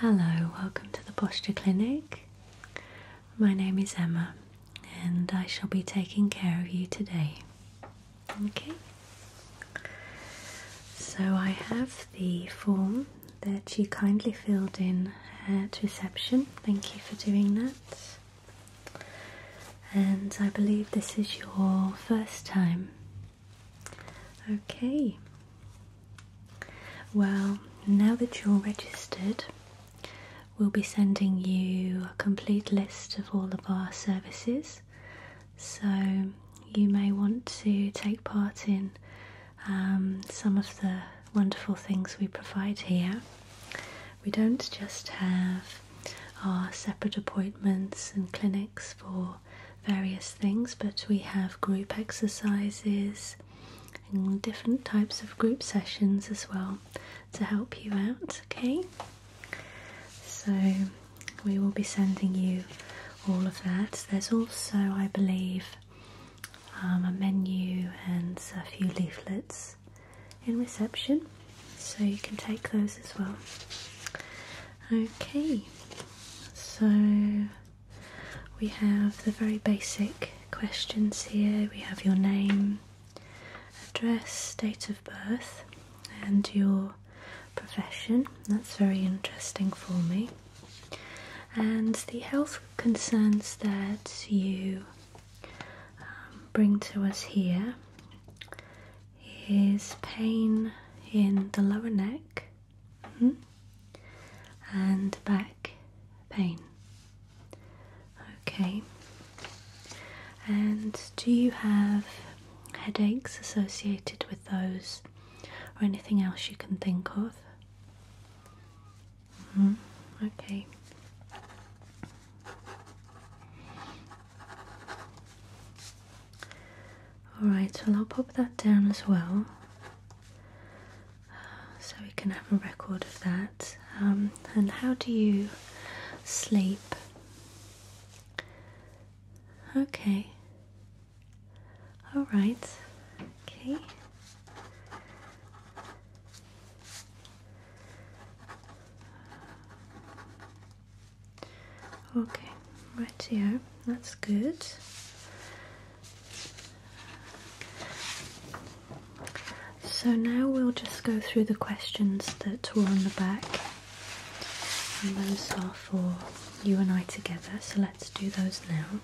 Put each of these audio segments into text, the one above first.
Hello, welcome to the Posture Clinic. My name is Emma and I shall be taking care of you today. Okay, so I have the form that you kindly filled in at reception. Thank you for doing that. And I believe this is your first time Okay. Well, now that you're registered, we'll be sending you a complete list of all of our services. So you may want to take part in um, some of the wonderful things we provide here. We don't just have our separate appointments and clinics for various things, but we have group exercises and different types of group sessions as well to help you out, okay? So we will be sending you all of that. There's also, I believe, um, a menu and a few leaflets in reception, so you can take those as well. Okay, so we have the very basic questions here. We have your name, address, date of birth, and your profession. That's very interesting for me. And the health concerns that you um, bring to us here is pain in the lower neck hmm, and back pain. Okay. And do you have headaches associated with those or anything else you can think of? Hmm, okay. Alright, so I'll pop that down as well so we can have a record of that. Um, and how do you sleep? Okay. Alright. Okay. Okay, right here, that's good. So now we'll just go through the questions that were on the back, and those are for you and I together, so let's do those now.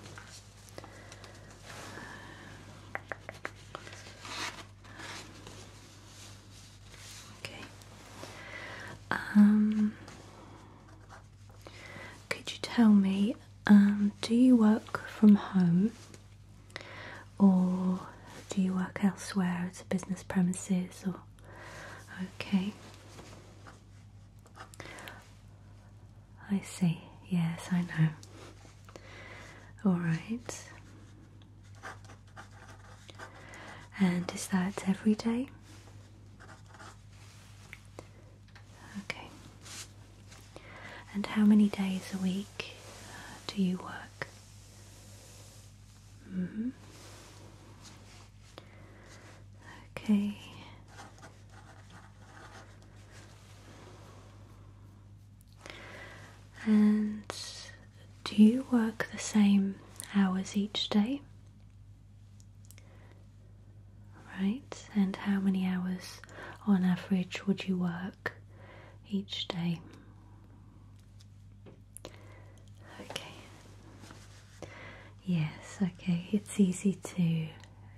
Okay. Um, could you tell me, um, do you work from home or do you work elsewhere at a business premises or? Okay. I see. Yes, I know. All right. And is that every day? Okay. And how many days a week uh, do you work? -hmm. Okay. And do you work the same hours each day? Right, and how many hours on average would you work each day? Okay. Yes, okay, it's easy to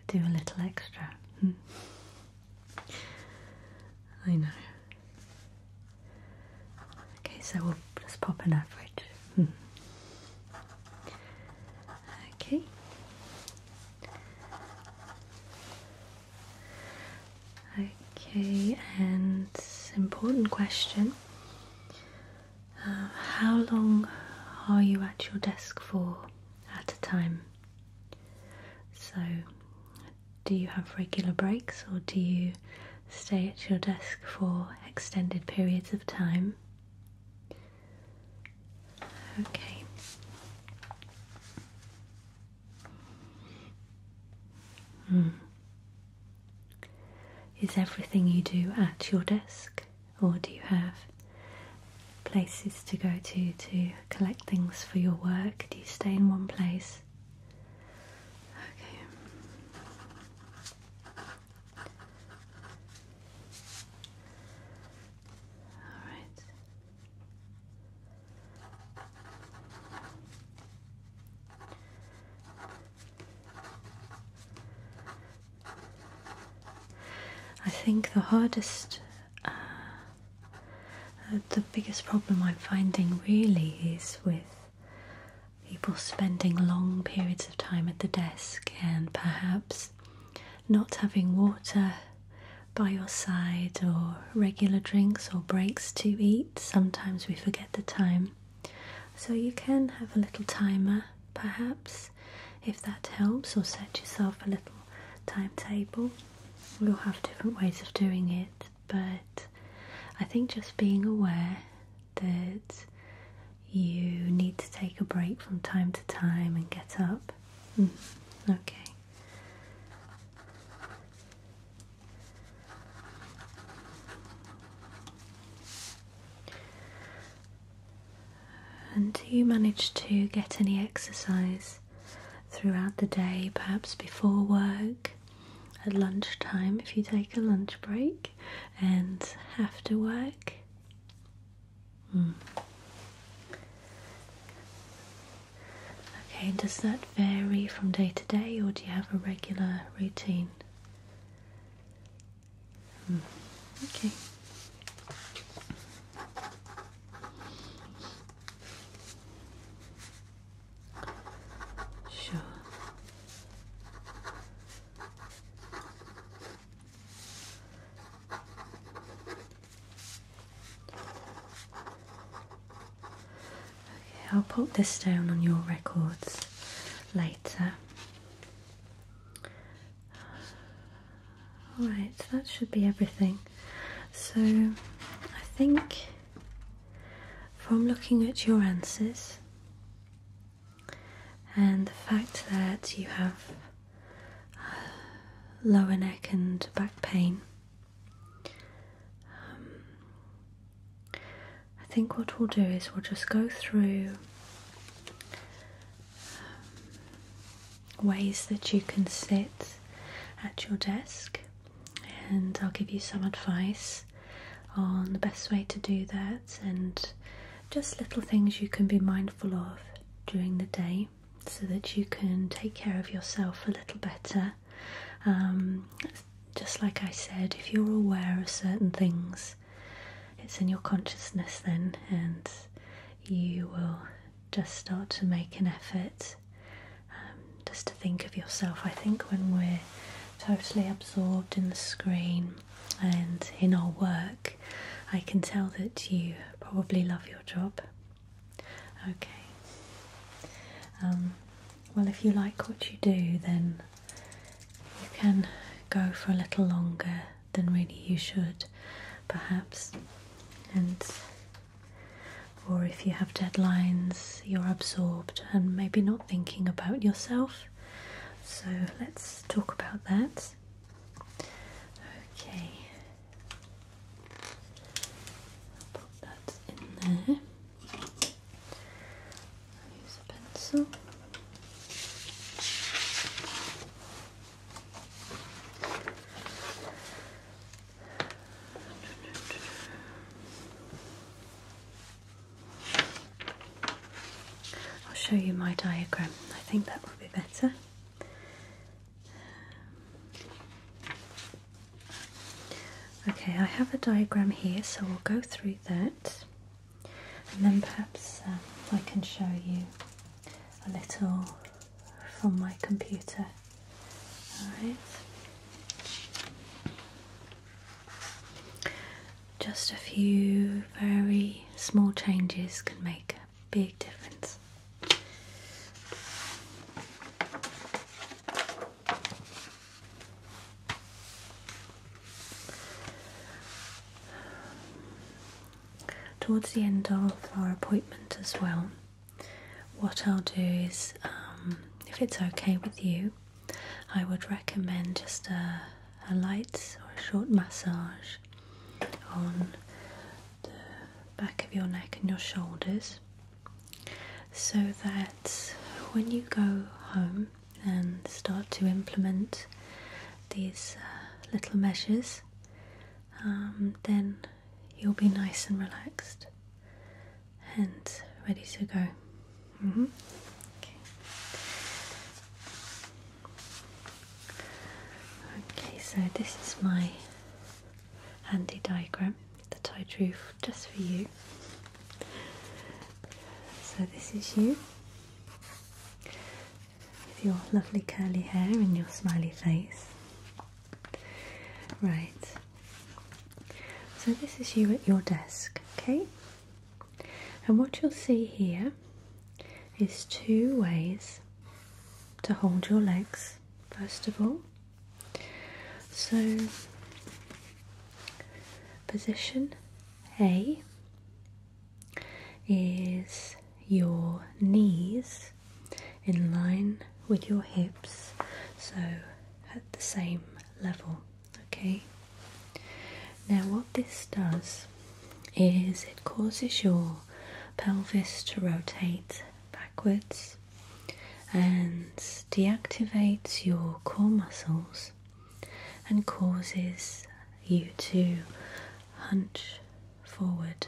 do a little extra. Hmm. I know. Okay, so we'll just pop in an average. Hmm. okay. Okay, and important question. Uh, how long are you at your desk for at a time? So, do you have regular breaks or do you stay at your desk for extended periods of time. Okay. Hmm. Is everything you do at your desk, or do you have places to go to to collect things for your work? Do you stay in one place? Okay. All right. I think the hardest, uh, the biggest problem I'm finding really is with people spending long periods of time at the desk and perhaps not having water by your side or regular drinks or breaks to eat. Sometimes we forget the time. So you can have a little timer perhaps if that helps or set yourself a little timetable. We'll have different ways of doing it but I think just being aware that you need to take a break from time to time and get up. Mm, okay. And do you manage to get any exercise throughout the day, perhaps before work, at lunchtime if you take a lunch break and have to work. Mm. Okay, does that vary from day to day or do you have a regular routine? Hmm. Okay. Okay, I'll pop this down on your records later. Alright, that should be everything. So I think from looking at your answers and the fact that you have lower neck and back pain. Um, I think what we'll do is we'll just go through um, ways that you can sit at your desk and I'll give you some advice on the best way to do that and just little things you can be mindful of during the day so that you can take care of yourself a little better. Um, just like I said, if you're aware of certain things, it's in your consciousness then, and you will just start to make an effort um, just to think of yourself. I think when we're totally absorbed in the screen and in our work, I can tell that you probably love your job. Okay. Um, well, if you like what you do, then you can go for a little longer than really you should, perhaps. And or if you have deadlines, you're absorbed and maybe not thinking about yourself. So let's talk about that. Okay, put that in there. Use a pencil. I'll show you my diagram. I think that will be better. Um, okay, I have a diagram here, so we'll go through that and then perhaps um, I can show you a little from my computer. Alright. Just a few very small changes can make a big difference. Towards the end of our appointment, as well, what I'll do is um, if it's okay with you, I would recommend just a, light or a short massage on the back of your neck and your shoulders so that when you go home and start to implement these uh, little measures, um, then you'll be nice and relaxed and ready to go. Mm-hmm. Okay. Okay, so this is my handy diagram that I drew just for you. So this is you with your lovely curly hair and your smiley face. Right, so, this is you at your desk, okay? And what you'll see here is two ways to hold your legs, first of all. So, position A is your knees in line with your hips, so at the same level. Okay, now what this does is it causes your pelvis to rotate backwards and deactivates your core muscles and causes you to hunch forward.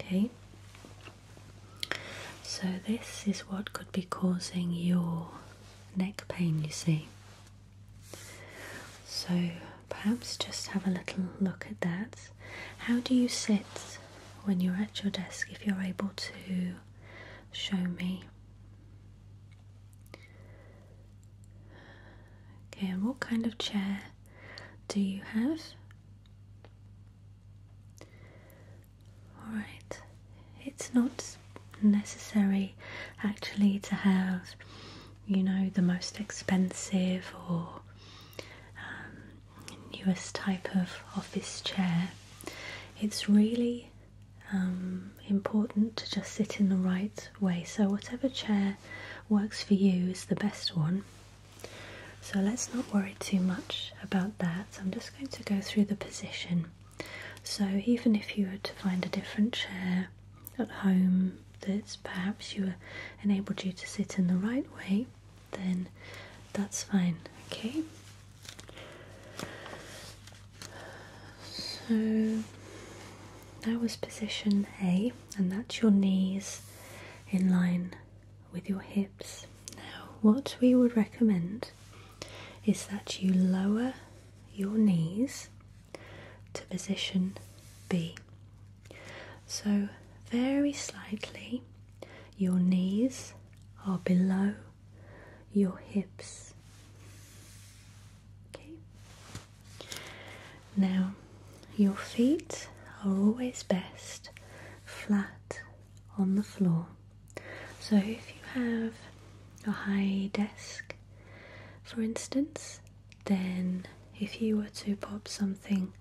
Okay, so, this is what could be causing your neck pain, you see. So, perhaps just have a little look at that. How do you sit when you're at your desk if you're able to show me? Okay, and what kind of chair do you have? Alright, it's not necessary actually to have, you know, the most expensive or um, newest type of office chair. It's really um, important to just sit in the right way. So, whatever chair works for you is the best one. So, let's not worry too much about that. I'm just going to go through the position. So, even if you were to find a different chair at home that's perhaps you were enabled you to sit in the right way, then that's fine, okay? So that was position A, and that's your knees in line with your hips. Now, what we would recommend is that you lower your knees to position B. So, very slightly, your knees are below your hips. Okay. Now, your feet are always best flat on the floor. So if you have a high desk, for instance, then if you were to pop something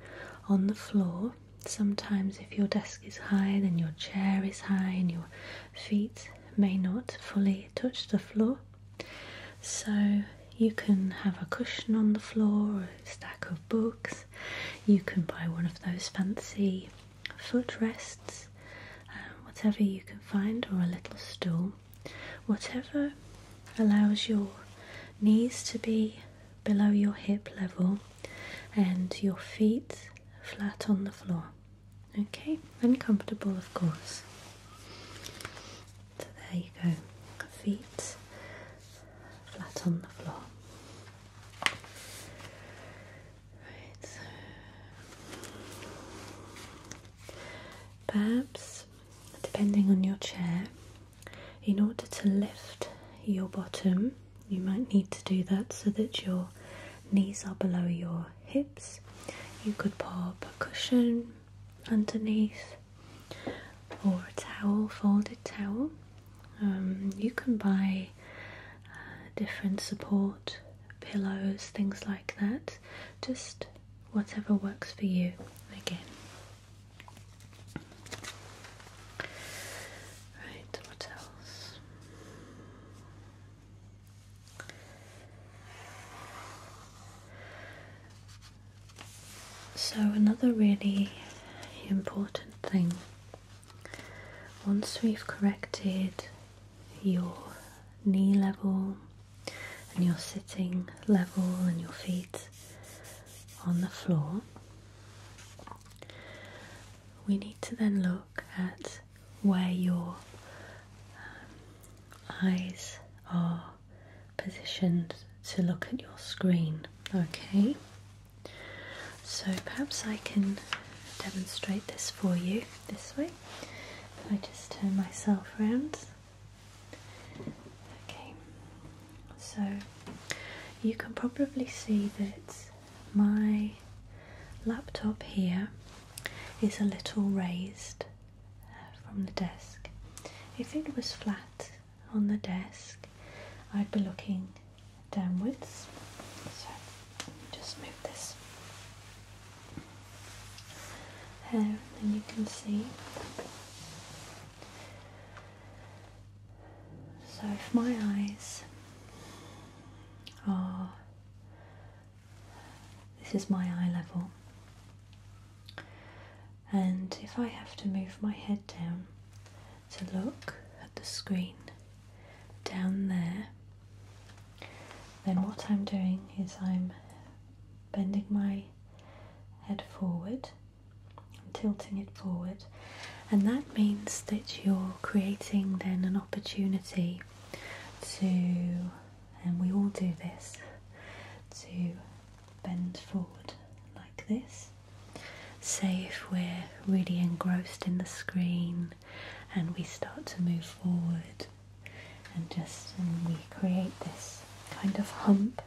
on the floor, sometimes if your desk is high, then your chair is high and your feet may not fully touch the floor. So you can have a cushion on the floor, a stack of books, you can buy one of those fancy Foot rests, um, whatever you can find, or a little stool, whatever allows your knees to be below your hip level and your feet flat on the floor. Okay, and comfortable, of course. So there you go, feet flat on the floor perhaps depending on your chair, in order to lift your bottom, you might need to do that so that your knees are below your hips. You could pop a cushion underneath or a towel, folded towel, um, you can buy uh, different support pillows, things like that, just whatever works for you again. Right, what else? So, another really important thing once we've corrected your knee level and you're sitting level and your feet on the floor, we need to then look at where your um, eyes are positioned to look at your screen. Okay, so perhaps I can demonstrate this for you this way. If I just turn myself around. Okay, so you can probably see that my laptop here is a little raised uh, from the desk. If it was flat on the desk, I'd be looking downwards. So just move this. and then you can see. So if my eyes are, this is my eye level, and if I have to move my head down, to look at the screen down there, then what I'm doing is I'm bending my head forward, I'm tilting it forward, and that means that you're creating then an opportunity to, and we all do this, to bend forward like this. Say if we're really engrossed in the screen and we start to move forward and just we create this kind of hump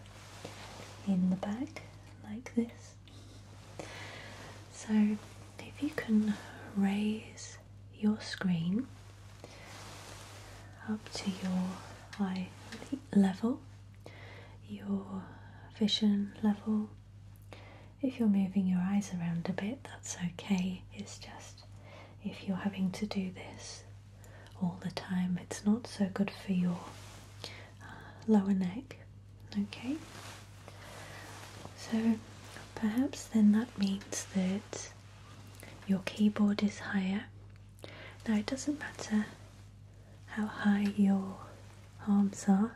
in the back like this. So if you can raise your screen up to your eye level, your vision level, if you're moving your eyes around a bit, that's okay. It's just if you're having to do this all the time, it's not so good for your uh, lower neck. Okay, so perhaps then that means that your keyboard is higher. Now, it doesn't matter how high your arms are,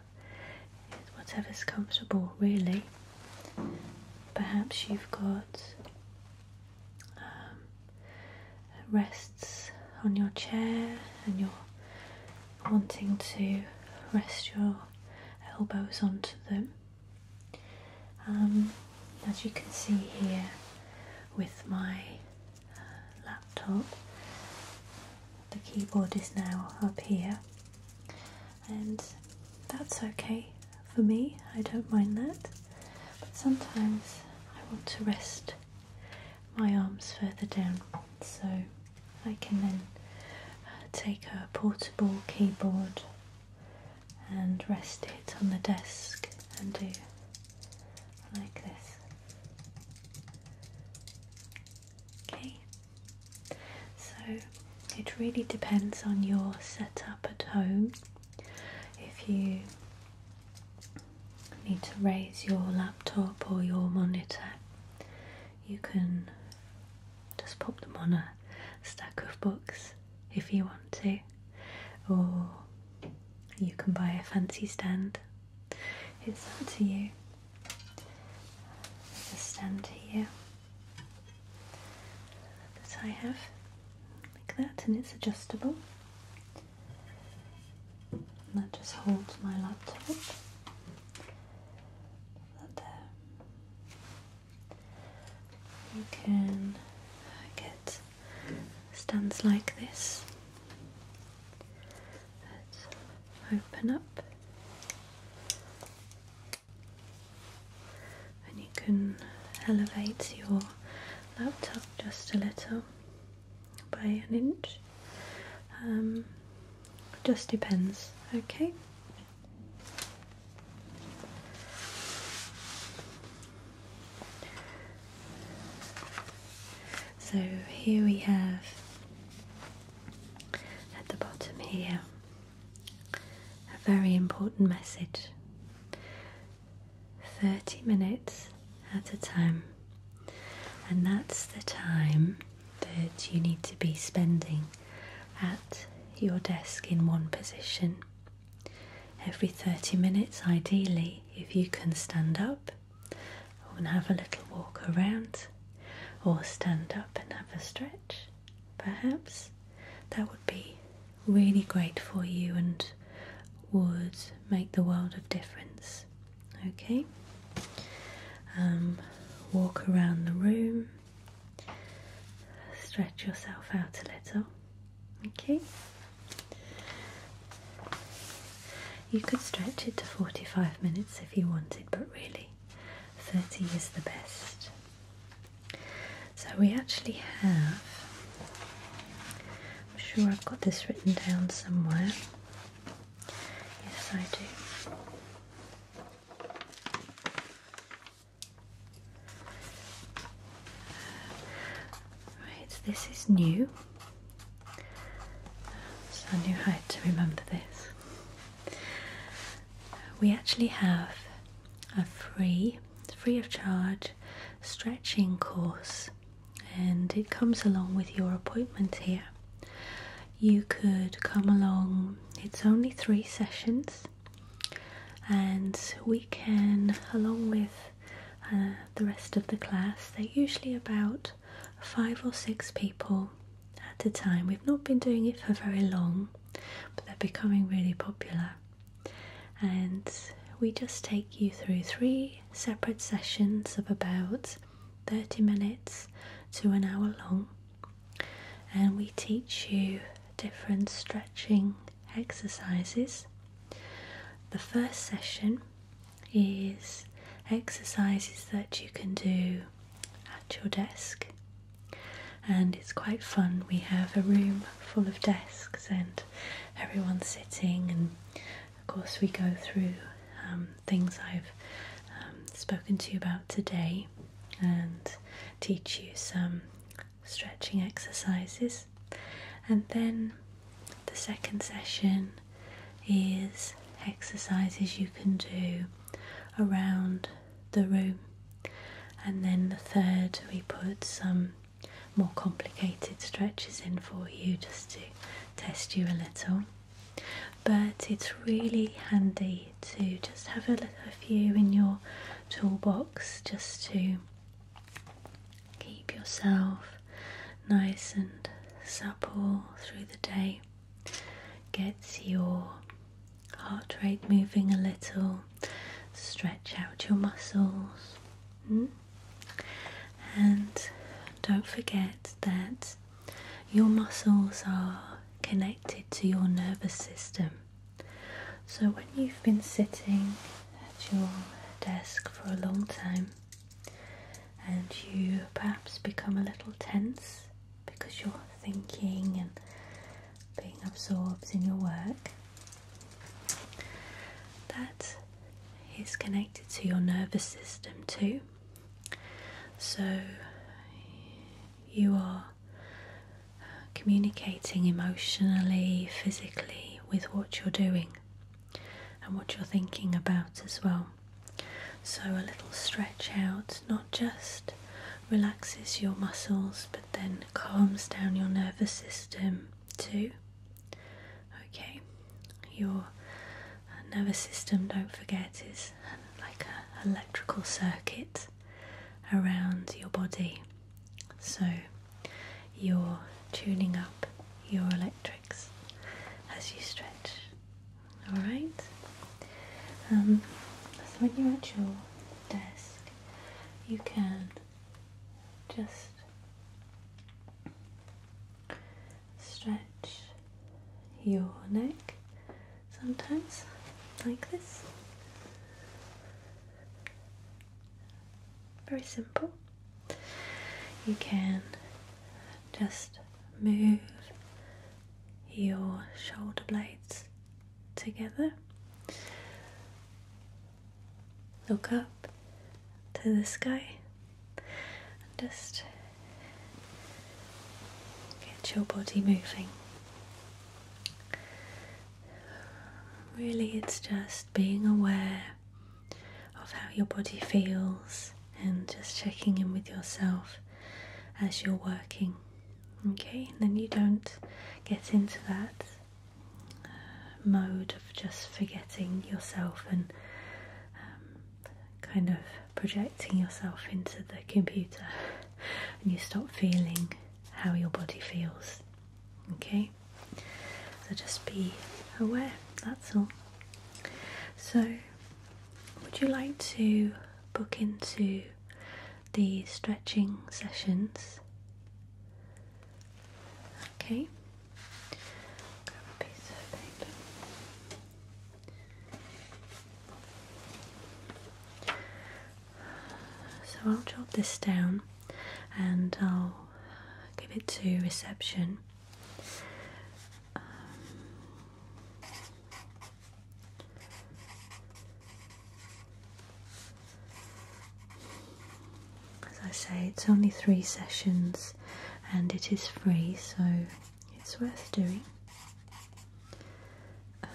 whatever's comfortable, really. Perhaps you've got um, rests on your chair and you're wanting to rest your elbows onto them. Um, as you can see here with my uh, laptop, the keyboard is now up here, and that's okay for me, I don't mind that. But sometimes I want to rest my arms further down, so I can then uh, take a portable keyboard and rest it on the desk and do like this. Okay, so it really depends on your setup at home. If you need to raise your laptop or your monitor, you can just pop them on a stack of books if you want to, or you can buy a fancy stand. It's up to you the stem here that I have like that and it's adjustable that just holds my laptop that there you can get stands like this open up and you can elevate your laptop just a little by an inch um, just depends okay so here we have at the bottom here a very important message 30 minutes at a time, and that's the time that you need to be spending at your desk in one position. Every 30 minutes, ideally, if you can stand up and have a little walk around or stand up and have a stretch, perhaps, that would be really great for you and would make the world of difference. Okay? Um, walk around the room, stretch yourself out a little. Okay? You could stretch it to 45 minutes if you wanted, but really 30 is the best. So we actually have, I'm sure I've got this written down somewhere. Yes, I do. Right, this is new. So I knew how to remember this. We actually have a free, free of charge stretching course and it comes along with your appointment here. You could come along, it's only three sessions, and we can, along with uh, the rest of the class, they're usually about five or six people at a time. We've not been doing it for very long, but they're becoming really popular. And we just take you through three separate sessions of about 30 minutes to an hour long, and we teach you different stretching exercises. The first session is exercises that you can do at your desk. And it's quite fun. We have a room full of desks and everyone's sitting, and of course, we go through um, things I've um, spoken to you about today and teach you some stretching exercises. And then the second session is exercises you can do around the room, and then the third, we put some more complicated stretches in for you just to test you a little. But it's really handy to just have a, little, few in your toolbox just to keep yourself nice and supple through the day. Gets your heart rate moving a little, stretch out your muscles, hmm? and don't forget that your muscles are connected to your nervous system. So, when you've been sitting at your desk for a long time, and you perhaps become a little tense because you're thinking and being absorbed in your work. That is connected to your nervous system too. So you are communicating emotionally, physically with what you're doing and what you're thinking about as well. So, a little stretch out not just relaxes your muscles but then calms down your nervous system too. Okay, your uh, nervous system, don't forget, is like an electrical circuit around your body. So, you're tuning up your electrics as you stretch all right. Um, so when you're at your desk, you can just stretch your neck sometimes like this. Very simple. You can just move your shoulder blades together. Look up to the sky and just get your body moving. Really, it's just being aware of how your body feels and just checking in with yourself as you're working. Okay, and then you don't get into that uh, mode of just forgetting yourself and um, kind of projecting yourself into the computer, and you stop feeling how your body feels. Okay, so just be aware, that's all. So, would you like to book into the stretching sessions? Okay, So I'll jot this down and I'll give it to reception um, as I say, it's only three sessions and it is free, so it's worth doing. Um,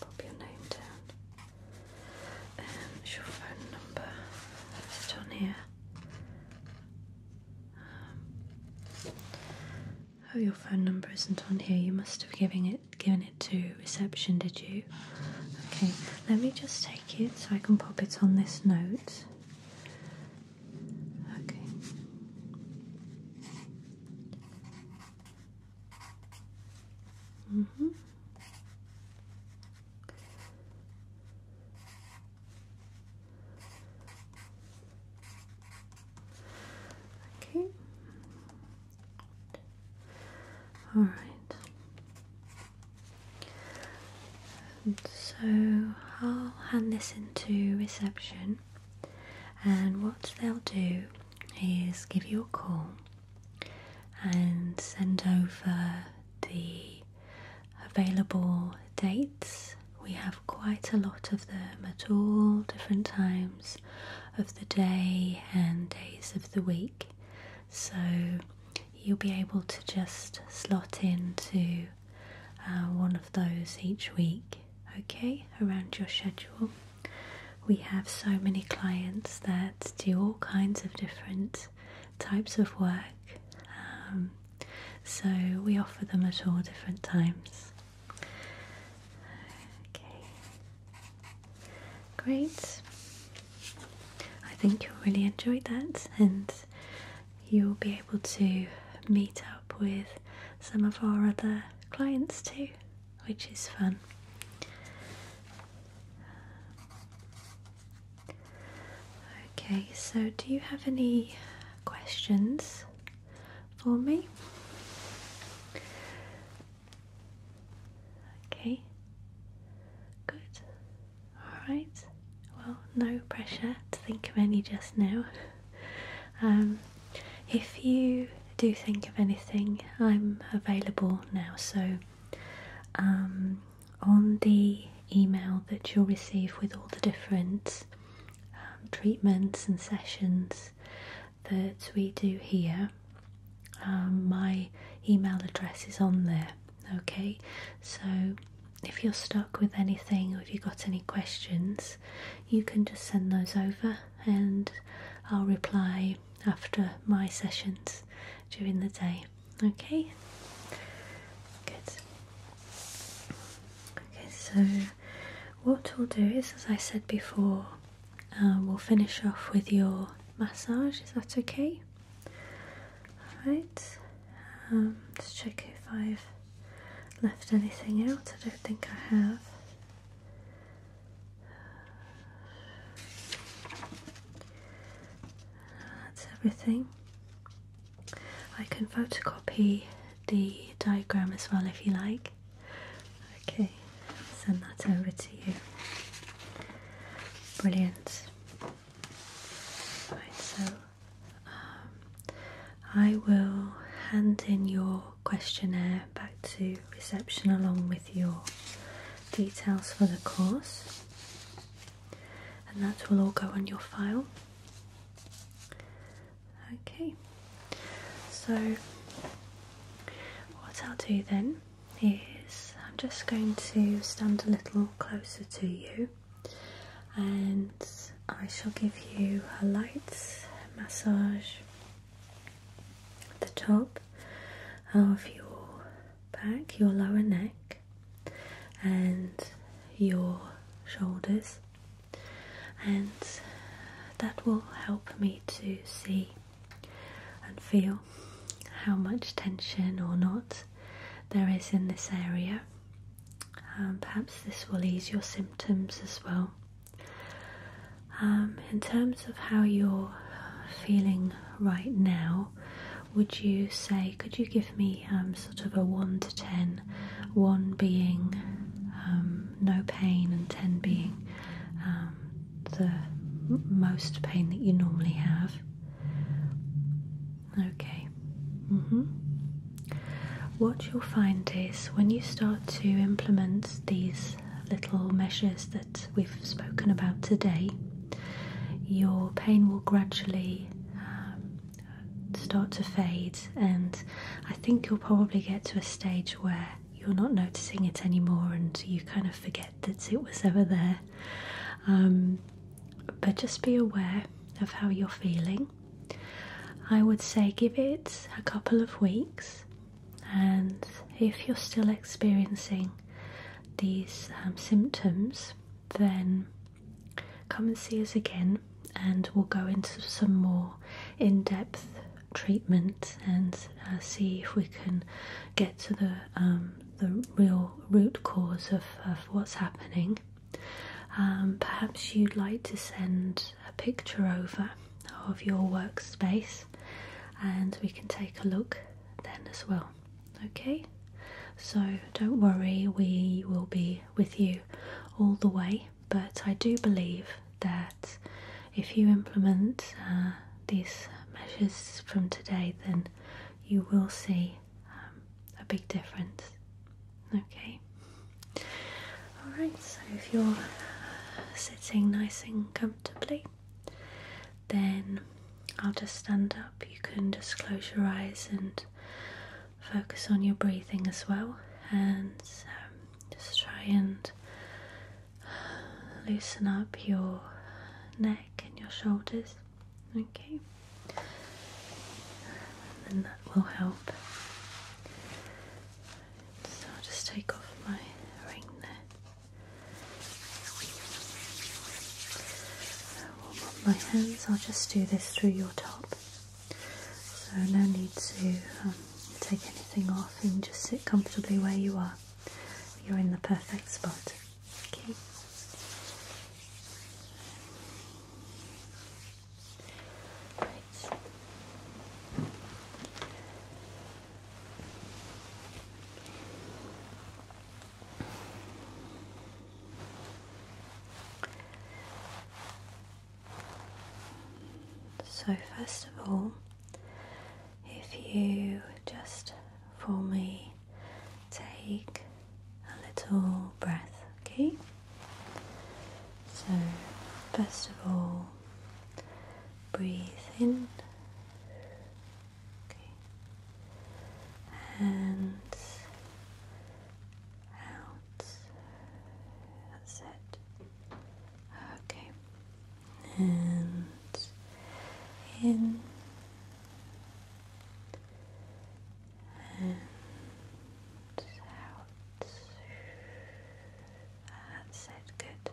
pop your name down. Um, is your phone number? Is on here? Um, oh, your phone number isn't on here. You must have given it given it to reception, did you? Okay, let me just take it so I can pop it on this note. Okay. Mhm. Mm Okay. All right. so I'll hand this into reception, and what they'll do is give you a call and send over the available dates. We have quite a lot of them at all different times of the day and days of the week, so you'll be able to just slot into uh, one of those each week, okay, around your schedule. We have so many clients that do all kinds of different types of work. Um, so we offer them at all different times. Okay, great. I think you'll really enjoy that, and you'll be able to meet up with some of our other clients too, which is fun. Okay, so do you have any questions for me? Okay, good. Alright, well, no pressure to think of any just now. Um, if you do think of anything, I'm available now, so um, on the email that you'll receive with all the different um, treatments and sessions that we do here, um, my email address is on there. Okay, so if you're stuck with anything or if you've got any questions, you can just send those over and I'll reply after my sessions during the day. Okay, good. Okay, so what we'll do is, as I said before, um, we'll finish off with your massage. Is that okay? All right. Um, let's check if I've left anything out. I don't think I have. That's everything. I can photocopy the diagram as well if you like. Okay, send that over to you. Brilliant. Right, so um, I will hand in your questionnaire back to reception along with your details for the course, and that will all go on your file. Okay, so what I'll do then is I'm just going to stand a little closer to you and I shall give you a light massage at the top of your back, your lower neck, and your shoulders, and that will help me to see and feel how much tension or not there is in this area. Um, perhaps this will ease your symptoms as well. Um, in terms of how you're feeling right now, would you say, could you give me um, sort of a 1 to ten, one being um, no pain and 10 being um, the most pain that you normally have? Okay. Mm-hmm. What you'll find is when you start to implement these little measures that we've spoken about today, your pain will gradually um, start to fade, and I think you'll probably get to a stage where you're not noticing it anymore and you kind of forget that it was ever there. Um, but just be aware of how you're feeling. I would say give it a couple of weeks and if you're still experiencing these um, symptoms, then come and see us again, and we'll go into some more in depth treatment and uh, see if we can get to the um, the real root cause of, what's happening. Um, perhaps you'd like to send a picture over of your workspace and we can take a look then as well. Okay, so don't worry, we will be with you all the way. But I do believe that if you implement uh, these measures from today, then you will see um, a big difference. Okay, all right, so if you're uh, sitting nice and comfortably. Then I'll just stand up. You can just close your eyes and focus on your breathing as well, and um, just try and loosen up your neck and your shoulders, okay? And that will help. So I'll just take off my ring there. I will up my hands, I'll just do this through your top. So no need to um, take anything off, and just sit comfortably where you are. You're in the perfect spot. Okay. Right. So, first of all, if you just for me take a little breath, okay? So, first of all, breathe in Okay. And out. That's Okay. And in. And out. That's Good.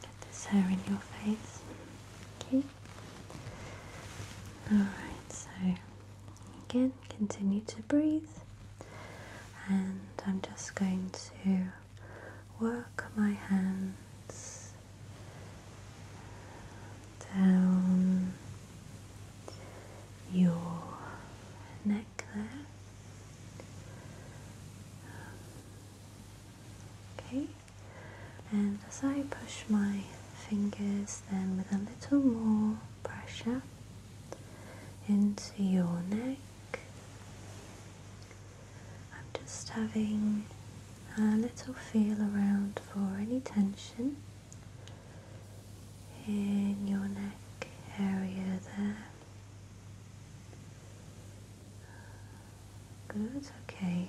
Get this hair in your face. Okay. Alright, so again, continue to breathe. And I'm just going to work my hands down your neck there. Okay, and as I push my fingers, then with a little more pressure into your neck, I'm just having a little feel around for any tension in your neck area there. Good, okay.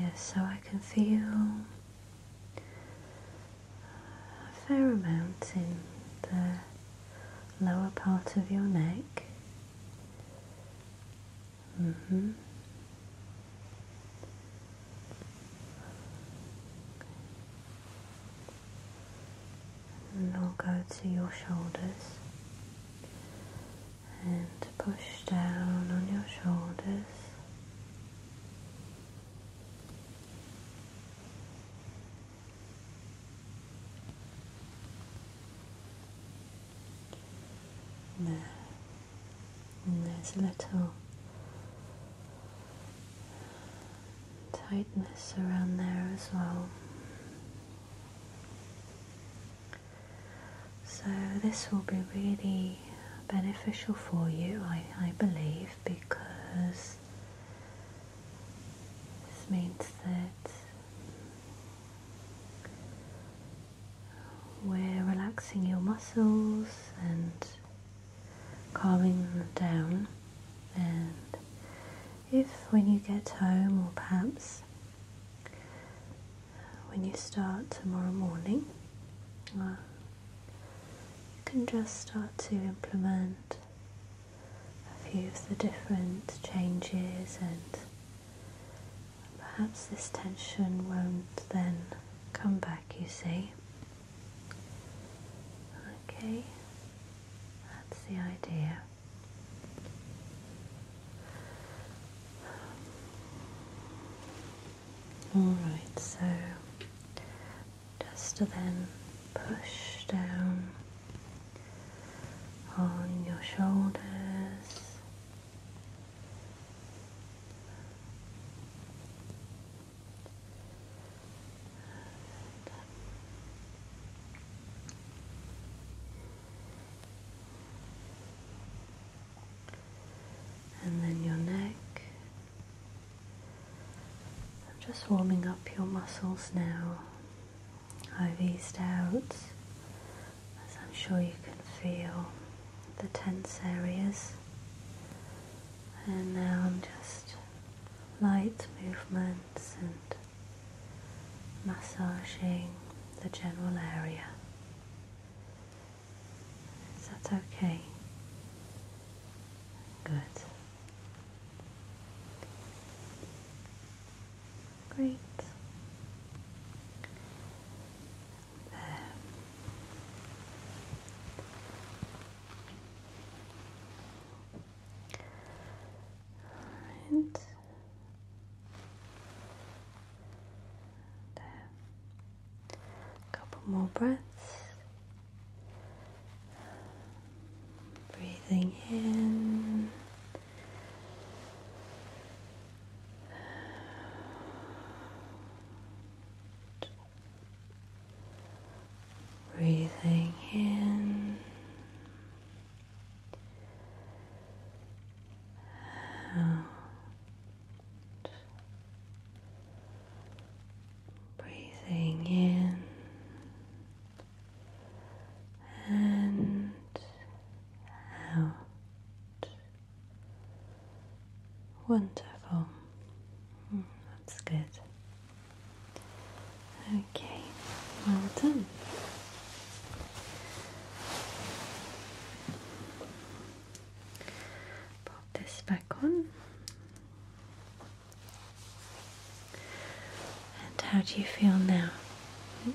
Yes, so I can feel a fair amount in the lower part of your neck. hmm and I'll go to your shoulders and push down on your shoulders. There. And there's a little tightness around there as well. So this will be really beneficial for you, I, believe, because this means that we're relaxing your muscles and calming down and if when you get home or perhaps when you start tomorrow morning you can just start to implement a few of the different changes and perhaps this tension won't then come back you see okay that's the idea Alright, so just to then push down on your shoulders. And, then your neck. I'm just warming up your muscles now. I've eased out, as I'm sure you can feel, the tense areas. And now I'm just light movements and massaging the general area. Is that okay? Good. Great. There. A couple more breaths. Breathing in. Breathing in out. Breathing in and out. Wonderful. Mm, that's good. Okay, well done. Pop this back on. And how do you feel now? Hmm?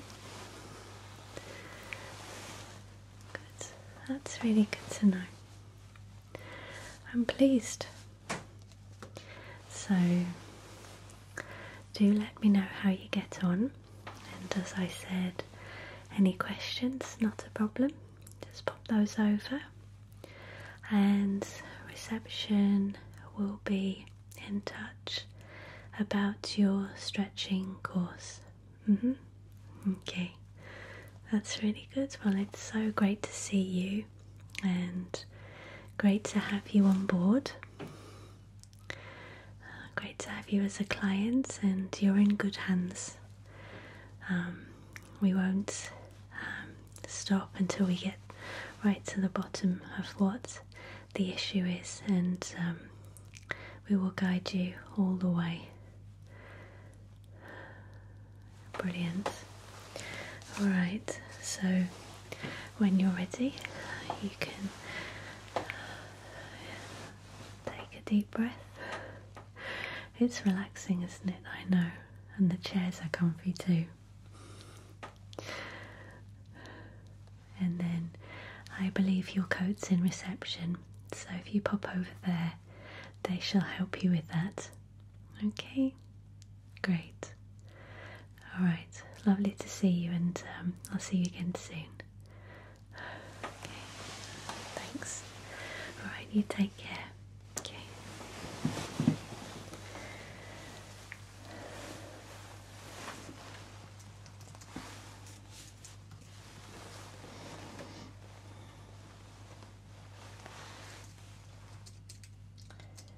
Good, that's really good to know. I'm pleased so, do let me know how you get on. And as I said, any questions, not a problem, just pop those over. And reception will be in touch about your stretching course. Mm-hmm. Okay, that's really good. Well, it's so great to see you and great to have you on board. Uh, great to have you as a client, and you're in good hands. Um, we won't um, stop until we get right to the bottom of what the issue is, and um, we will guide you all the way. Brilliant. Alright, so when you're ready, you can uh, take a deep breath. It's relaxing, isn't it? I know, and the chairs are comfy too. And then I believe your coat's in reception, so if you pop over there, they shall help you with that. Okay, Great. All right. Lovely to see you, and um, I'll see you again soon. Thanks. All right. You take care. Okay.